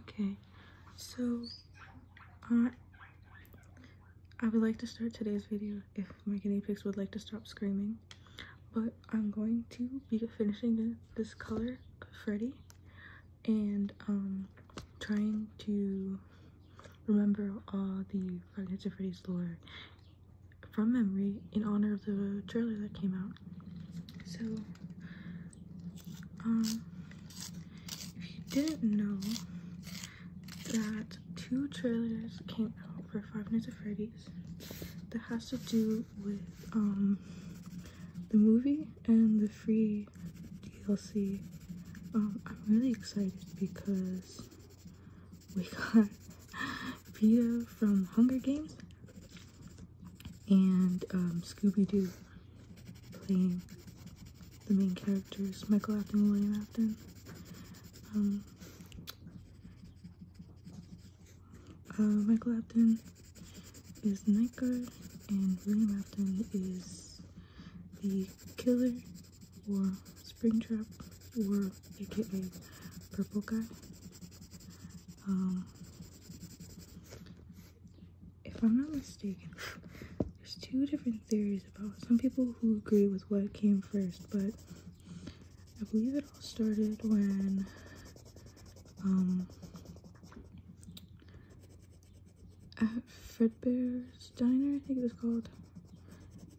Okay, so uh, I would like to start today's video if my guinea pigs would like to stop screaming. But I'm going to be finishing this color Freddy and um, trying to remember all the Five Nights at Freddy's lore from memory in honor of the trailer that came out so, um, if you didn't know that two trailers came out for Five Nights at Freddy's that has to do with um, the movie and the free DLC. Um, I'm really excited because we got Pia from Hunger Games and um, Scooby-Doo playing the main characters, Michael Apton and William Afton. Um, uh, Michael Apton is the night guard and William Afton is the killer or Springtrap or aka Purple Guy. Uh, if I'm not mistaken, there's two different theories about some people who agree with what came first, but I believe it all started when um, at Fredbear's Diner, I think it was called,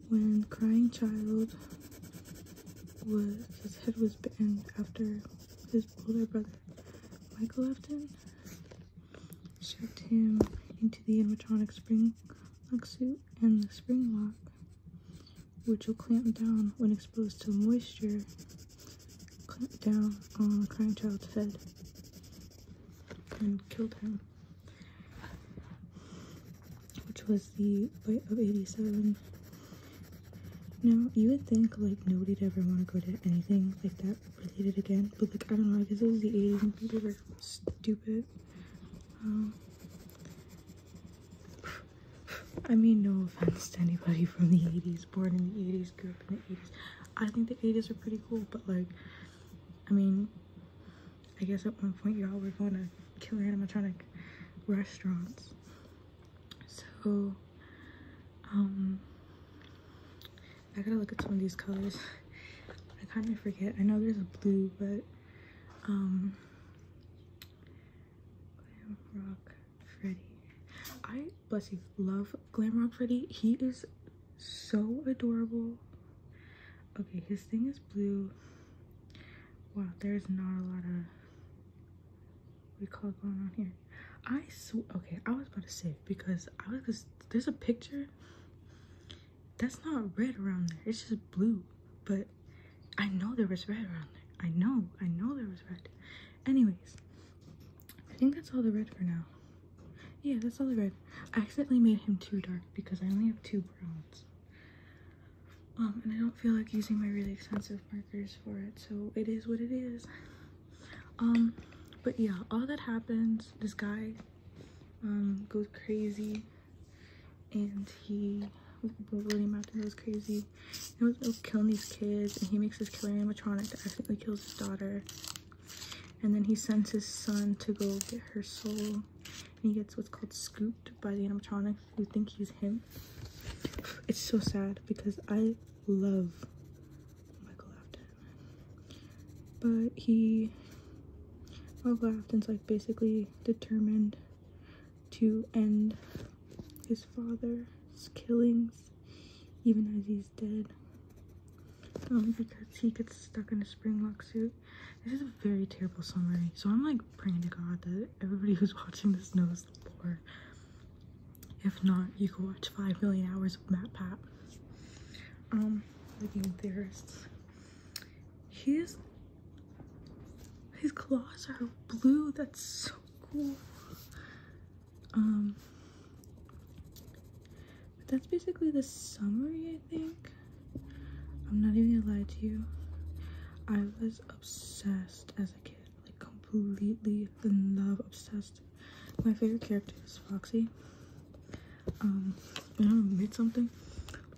when Crying Child was, his head was bitten after his older brother Michael Upton shoved him into the animatronic spring lock suit and the spring lock, which will clamp down when exposed to moisture, clamp down on the crying child's head and killed him. Which was the bite of 87 now, you would think, like, nobody'd ever want to go to anything like that related again, but, like, I don't know, I guess it was the 80s people were stupid. Um, I mean, no offense to anybody from the 80s, born in the 80s, grew up in the 80s. I think the 80s are pretty cool, but, like, I mean, I guess at one point y'all were going to killer animatronic restaurants so um i gotta look at some of these colors i kind of forget i know there's a blue but um glam rock freddy i bless you love glam rock freddy he is so adorable okay his thing is blue wow there's not a lot of what do you call it going on here? I swear, okay, I was about to say because I was, cause there's a picture that's not red around there, it's just blue. But I know there was red around there. I know, I know there was red. Anyways, I think that's all the red for now. Yeah, that's all the red. I accidentally made him too dark because I only have two browns. Um, and I don't feel like using my really expensive markers for it, so it is what it is. Um, but yeah, all that happens, this guy um, goes crazy, and he, William Afton goes crazy, and was, was killing these kids, and he makes this killer animatronic that accidentally kills his daughter, and then he sends his son to go get her soul, and he gets what's called scooped by the animatronic, you think he's him it's so sad because i love michael afton but he michael afton's like basically determined to end his father's killings even as he's dead um, because he gets stuck in a spring lock suit. This is a very terrible summary, so I'm like praying to God that everybody who's watching this knows is If not, you can watch 5 million hours of Matt Pat. Um, the game theorists. His, his claws are blue. That's so cool. Um, but that's basically the summary, I think. I'm not even gonna lie to you. I was obsessed as a kid like completely in love, obsessed. My favorite character is Foxy. Um, and I'll admit something.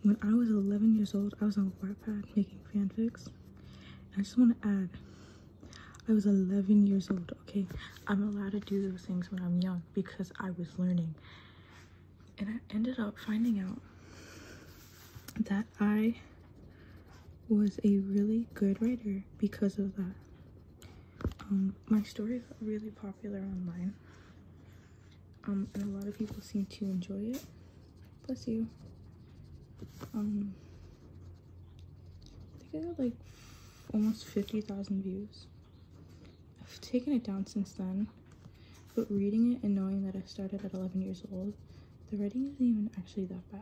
When I was 11 years old, I was on Wattpad making fanfics. I just want to add, I was 11 years old, okay? I'm allowed to do those things when I'm young because I was learning. And I ended up finding out that I was a really good writer because of that. Um, my story are really popular online, um, and a lot of people seem to enjoy it. Bless you. Um, I think I got like almost 50,000 views. I've taken it down since then, but reading it and knowing that I started at 11 years old the writing isn't even actually that bad.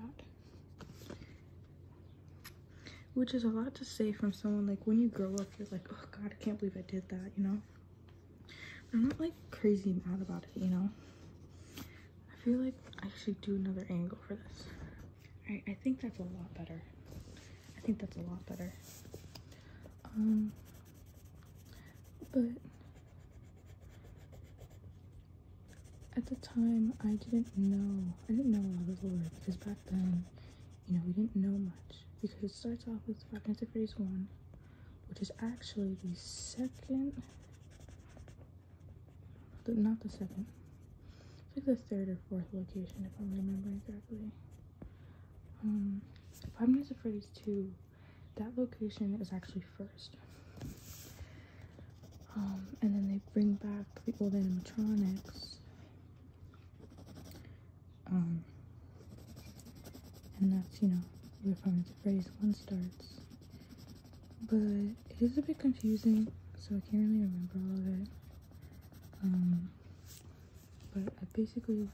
Which is a lot to say from someone like when you grow up, you're like, oh god, I can't believe I did that, you know? I'm not like crazy mad about it, you know? I feel like I should do another angle for this. Alright, I think that's a lot better. I think that's a lot better. Um, but at the time, I didn't know. I didn't know a lot of the lore because back then, you know, we didn't know much because it starts off with Five cognitive phase one, which is actually the second, not the second, it's like the third or fourth location if I'm remembering correctly. Um, cognitive phase two that location is actually first. Um, and then they bring back the old animatronics. Um, and that's, you know, where Final Phrase 1 starts. But it is a bit confusing, so I can't really remember all of it. Um, but I basically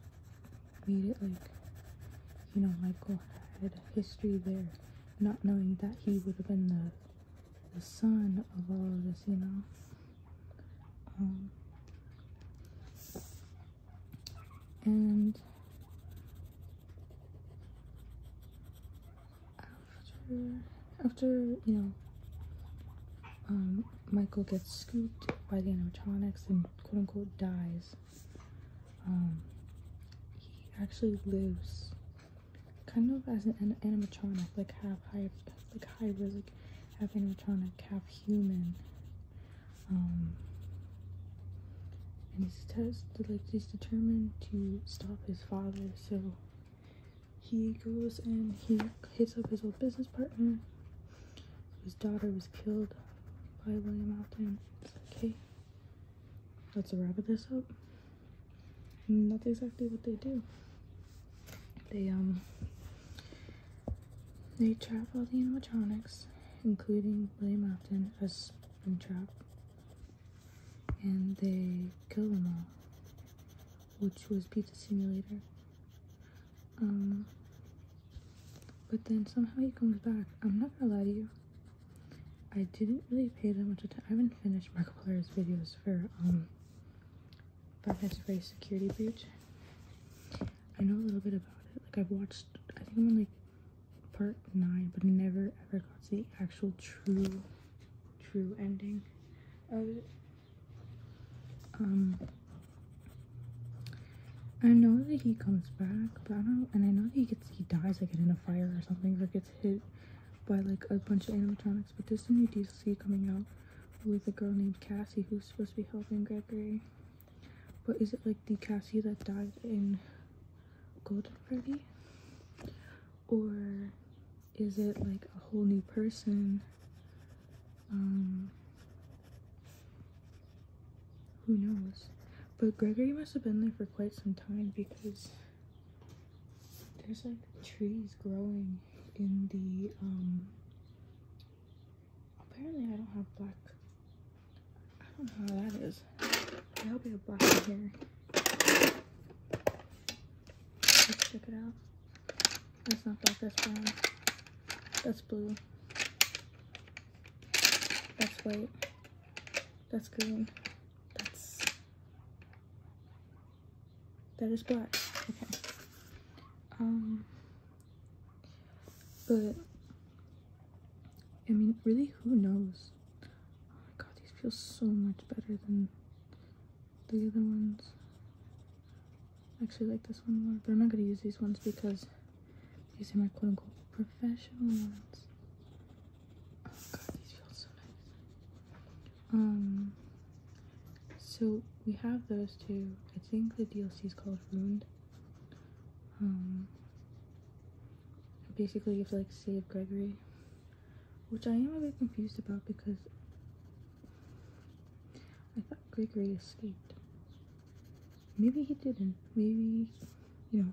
made it like, you know, Michael had a history there, not knowing that he would have been the, the son of all the this, you know. Um, and after, after you know, um, Michael gets scooped by the animatronics and quote unquote dies. Um, he actually lives kind of as an animatronic, like half high, like hybrid, like half animatronic, half human. Um, and he's tested, like he's determined to stop his father, so he goes and he hits up his old business partner. His daughter was killed by William Afton. okay. Let's wrap this up. And mm, that's exactly what they do. They um they trap all the animatronics, including William Afton as trap, and they kill them all, which was Pizza Simulator. Um, but then somehow he comes back. I'm not gonna lie to you. I didn't really pay that much attention. I haven't finished Markiplier's videos for um Five Nights at Freddy's Security Breach. I know a little bit about it. Like I've watched, I think I'm on like part nine, but never ever got to the actual true, true ending of it. Um, I know that he comes back, but I don't and I know that he gets he dies like in a fire or something or gets hit by like a bunch of animatronics, but there's a new DLC coming out with a girl named Cassie who's supposed to be helping Gregory. But is it like the Cassie that died in Golden Freddy? Or is it like a whole new person? Um, who knows? But Gregory must have been there for quite some time because there's like trees growing in the um apparently I don't have black I don't know how that is. I hope I have black in here. Let's check it out. That's not black, that's brown. That's blue. That's white. That's green. That's... That is black. Okay. Um... But... I mean, really, who knows? Oh god, these feel so much better than the other ones. I actually like this one more, but I'm not going to use these ones because these are my quote unquote professional ones. Oh god, these feel so nice. Um, so we have those two. I think the DLC is called Ruined. Um, basically you have to like save Gregory, which I am a bit confused about because I thought Gregory escaped maybe he didn't. Maybe, you know,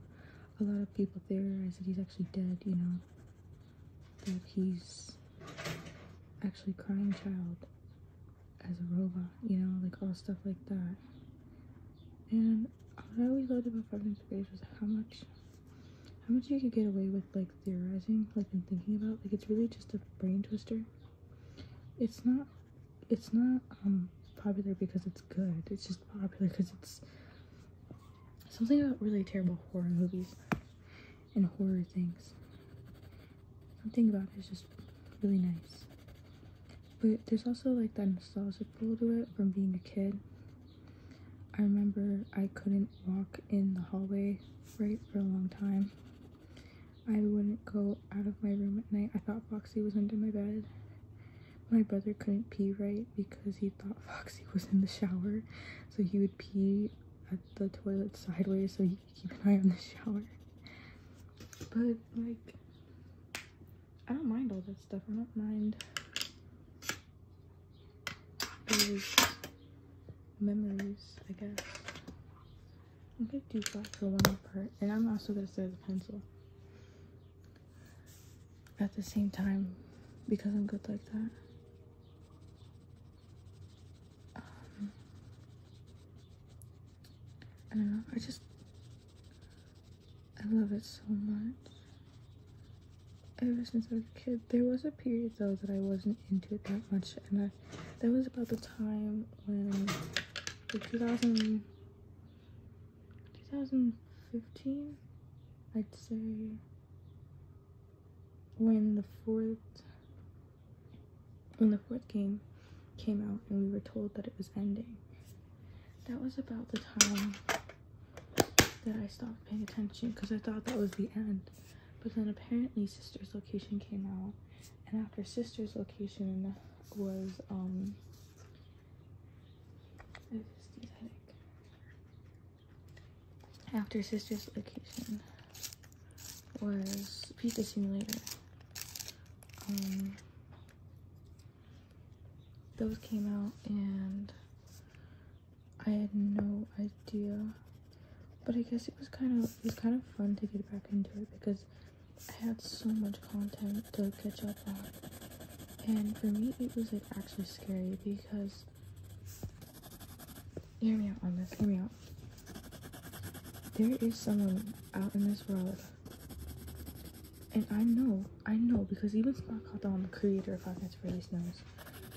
a lot of people theorize that he's actually dead, you know, that he's actually crying child as a robot, you know, like all stuff like that. And I always loved about Five Nights Space was how much how much you could get away with like theorizing, like and thinking about. Like it's really just a brain twister it's not it's not um, popular because it's good it's just popular because it's something about really terrible horror movies and horror things something about it is just really nice but there's also like that nostalgic pull to it from being a kid i remember i couldn't walk in the hallway right for a long time I wouldn't go out of my room at night. I thought Foxy was under my bed. My brother couldn't pee right because he thought Foxy was in the shower. So he would pee at the toilet sideways so he could keep an eye on the shower. But, like, I don't mind all that stuff. I don't mind those memories, I guess. I'm gonna do black for one part, and I'm also gonna start the pencil at the same time because I'm good like that. Um, I don't know. I just I love it so much. Ever since I was a kid, there was a period though that I wasn't into it that much, and that was about the time when 2000, 2015, I'd say when the fourth when the fourth game came out and we were told that it was ending. That was about the time that I stopped paying attention because I thought that was the end. But then apparently Sister's Location came out and after Sister's Location was um after sister's location was pizza simulator um, those came out and i had no idea but i guess it was kind of it was kind of fun to get back into it because I had so much content to catch up on. And for me, it was like actually scary because. Hear me out on this, hear me out. There is someone out in this world. And I know, I know, because even Sparkle, the creator of Five Nights at Freddy's, knows.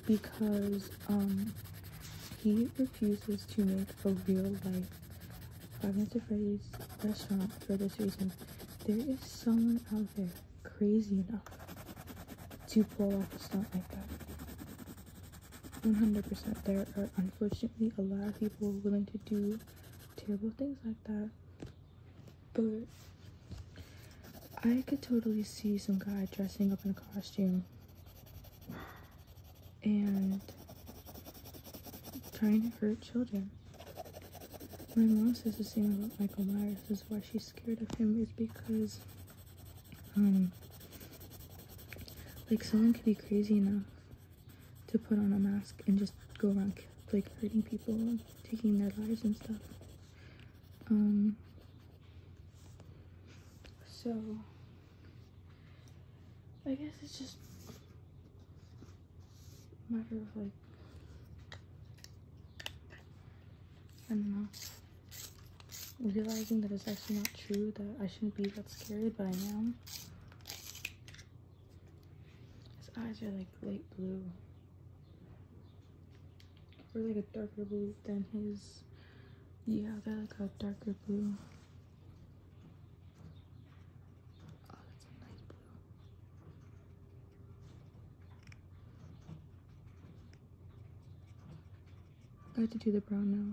Because, um, he refuses to make for real life Five Nights at Freddy's restaurant for this reason. There is someone out there crazy enough to pull off a stunt like that. 100%. There are unfortunately a lot of people willing to do terrible things like that. But I could totally see some guy dressing up in a costume and trying to hurt children. My mom says the same about Michael Myers. Is why she's scared of him is because, um, like someone could be crazy enough to put on a mask and just go around like hurting people, taking their lives and stuff. Um. So I guess it's just a matter of like, I don't know, realizing that it's actually not true that I shouldn't be that scared, but I am. His eyes are like light blue. Or like a darker blue than his. Yeah, they're like a darker blue. Oh, I have to do the brown now,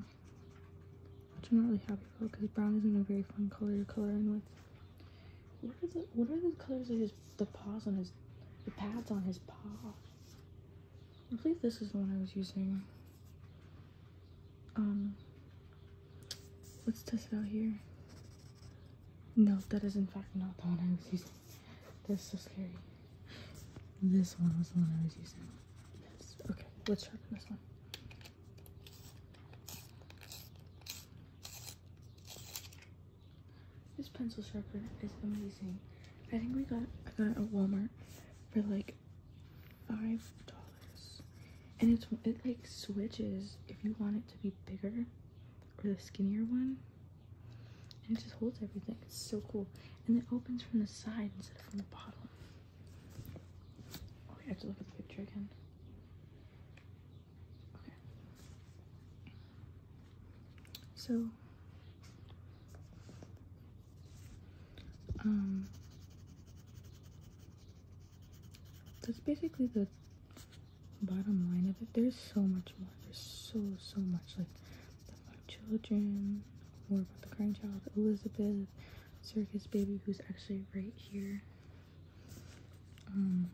which I'm not really happy with because brown isn't a very fun color to color in with. What are the What are the colors of his the paws on his the pads on his paw? I believe this is the one I was using. Um, let's test it out here. No, that is in fact not the one I was using. This is scary. This one was the one I was using. Yes. Okay, let's sharpen this one. This pencil sharpener is amazing. I think we got I got it at Walmart for like five dollars and it's it like switches if you want it to be bigger or the skinnier one and it just holds everything it's so cool and it opens from the side instead of from the bottom Oh, i have to look at the picture again okay so um, that's basically the bottom line of it. There's so much more. There's so, so much. Like, the children, more about the crying child, Elizabeth, circus baby, who's actually right here. Um,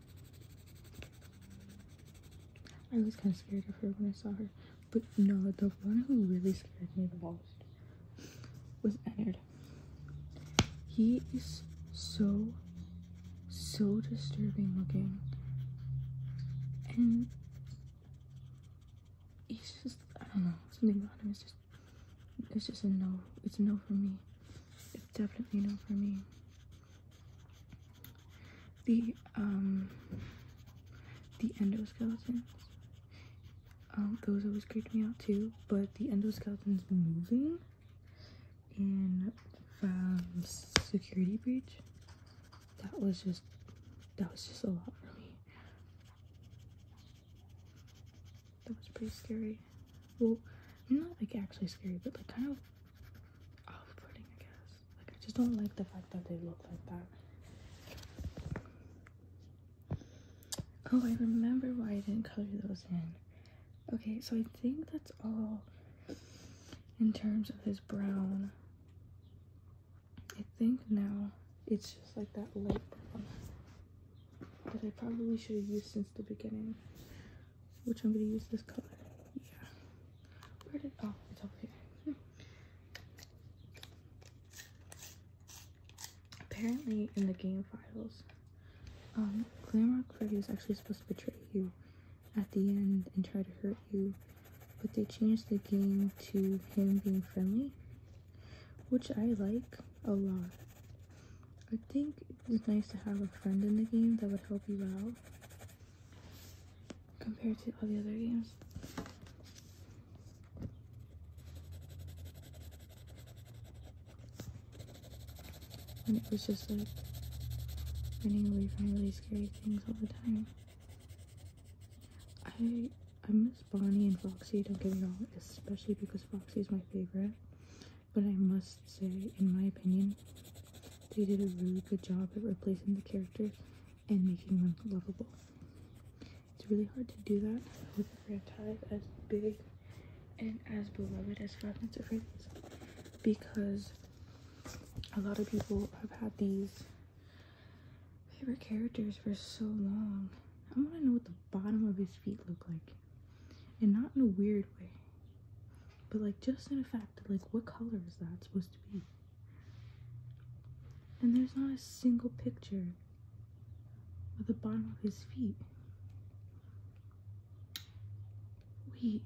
I was kind of scared of her when I saw her. But no, the one who really scared me the most was Ennard. He is so, so disturbing looking. And he's just, I don't know, something about him is just, it's just a no. It's a no for me. It's definitely a no for me. The, um, the endoskeletons um, those always creeped me out too, but the endoskeleton's moving in security breach. That was just that was just a lot for me. That was pretty scary. Well, not like actually scary, but like kind of off-putting, I guess. Like I just don't like the fact that they look like that. Oh, I remember why I didn't color those in. Okay, so I think that's all in terms of his brown. I think now it's just like that light brown that I probably should have used since the beginning. Which I'm gonna use this color. Yeah. Where did oh it's over here. Hmm. Apparently, in the game files, um, Glamrock Freddy is actually supposed to betray you at the end and try to hurt you, but they changed the game to him being friendly, which I like a lot. I think it's nice to have a friend in the game that would help you out compared to all the other games. And it was just like running away from really scary things all the time. I I miss Bonnie and Foxy, don't get me wrong, especially because Foxy is my favorite. But I must say, in my opinion, they did a really good job at replacing the characters and making them lovable. It's really hard to do that with a franchise as big and as beloved as Five Nights at because a lot of people have had these favorite characters for so long. I want to know what the bottom of his feet look like. And not in a weird way, but like just in the fact, that, like what color is that supposed to be? And there's not a single picture of the bottom of his feet. Wait.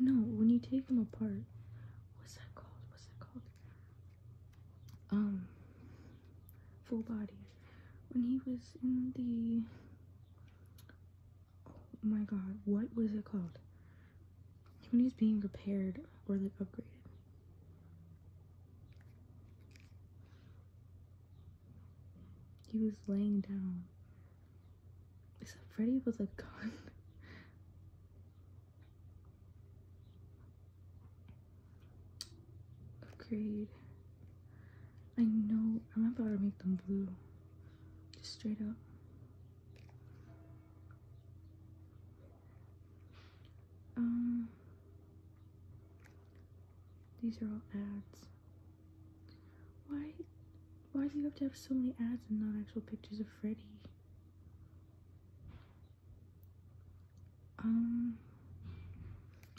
No, when you take them apart, what's that called? What's that called? Um, full body. When he was in the. Oh my god, what was it called? when he's being repaired or like upgraded. He was laying down. Is that Freddy with a gun? Upgrade. I know. I'm about to make them blue. Just straight up. Um, these are all ads. Why, why do you have to have so many ads and not actual pictures of Freddy? Um,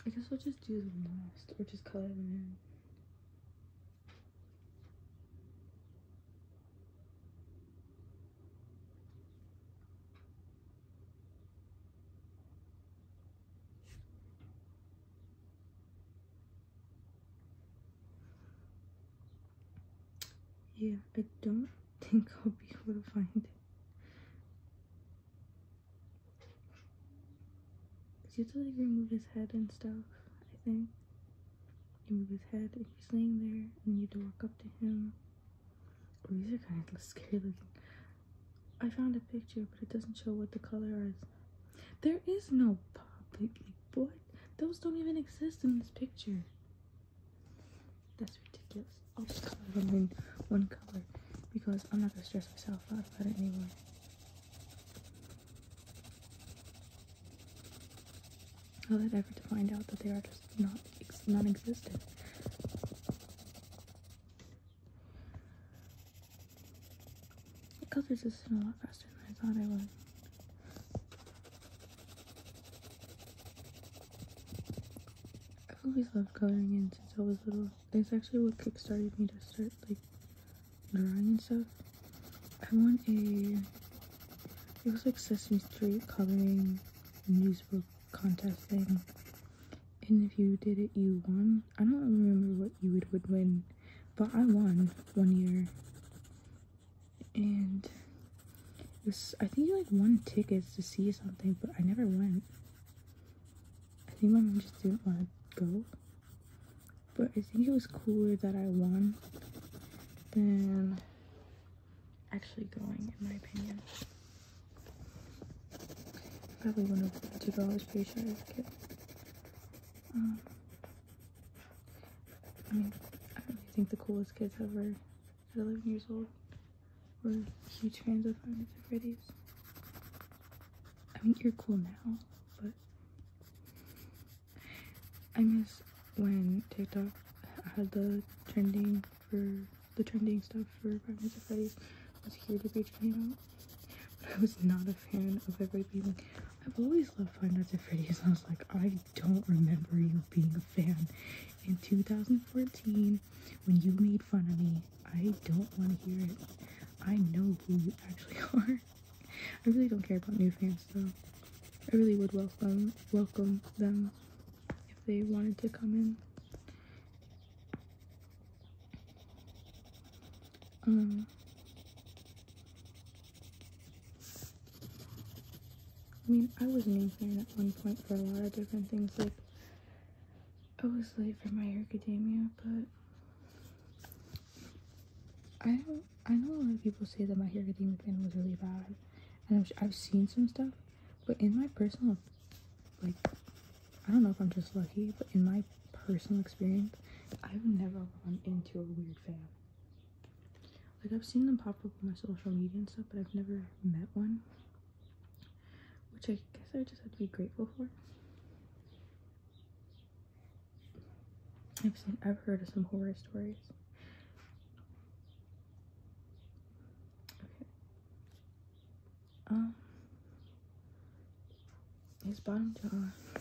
I guess we'll just do the last, or just color them in. Yeah, I don't think I'll be able to find it. He you to like remove his head and stuff, I think. You move his head and he's laying there and you have to walk up to him. Oh, these are kind of scary looking. I found a picture but it doesn't show what the color is. There is no public like what? Those don't even exist in this picture. That's ridiculous. I'll just color them in one color because I'm not gonna stress myself out about it anymore. All that effort to find out that they are just not non-existent. I got resistant a lot faster than I thought I would. I've always loved coloring in since I was little. It's actually what kickstarted me to start like drawing and stuff. I won a it was like Sesame Street coloring newsbook contest thing. And if you did it you won. I don't remember what you would, would win, but I won one year. And this I think you like won tickets to see something, but I never went. I think my mom just didn't want to go. But I think it was cooler that I won than actually going, in my opinion. Probably one of the two dollars pretty I would get. Um, I mean, I think the coolest kids ever 11 years old were huge fans of Five and at Freddy's. I mean, you're cool now, but I miss when TikTok had the trending for the trending stuff for Five Nights at Freddy's was here to be trending out. I was not a fan of everything. I've always loved Five Nights at Freddy's. I was like, I don't remember you being a fan. In 2014, when you made fun of me, I don't want to hear it. I know who you actually are. I really don't care about new fans though. I really would welcome welcome them if they wanted to come in. Um I mean, I was a fan at one point for a lot of different things. Like, I was late for My Hero but I don't, I know a lot of people say that my hair getting fan was really bad, and I've seen some stuff, but in my personal, like, I don't know if I'm just lucky, but in my personal experience, I've never run into a weird fan. Like, I've seen them pop up on my social media and stuff, but I've never met one, which I guess I just have to be grateful for. I've seen, I've heard of some horror stories. Um, his bottom jaw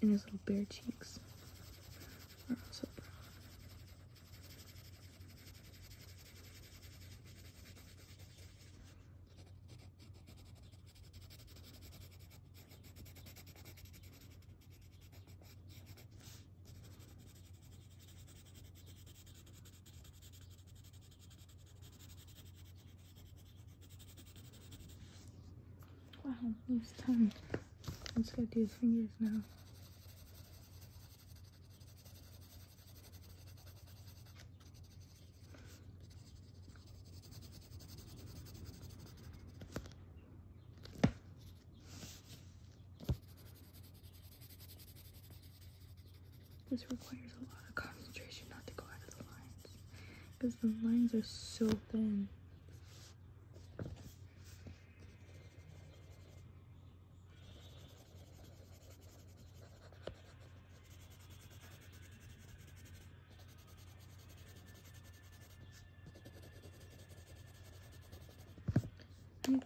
and his little bare cheeks Wow, loose tongue. I'm just gonna do his fingers now. This requires a lot of concentration not to go out of the lines because the lines are so thin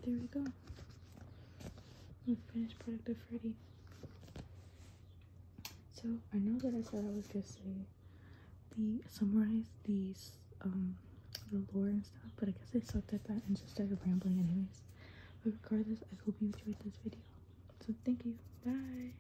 there we go. The finished product of Freddy. So I know that I said I was gonna say the summarize these um the lore and stuff, but I guess I sucked at that and just started rambling anyways. But regardless, I hope you enjoyed this video. So thank you. Bye.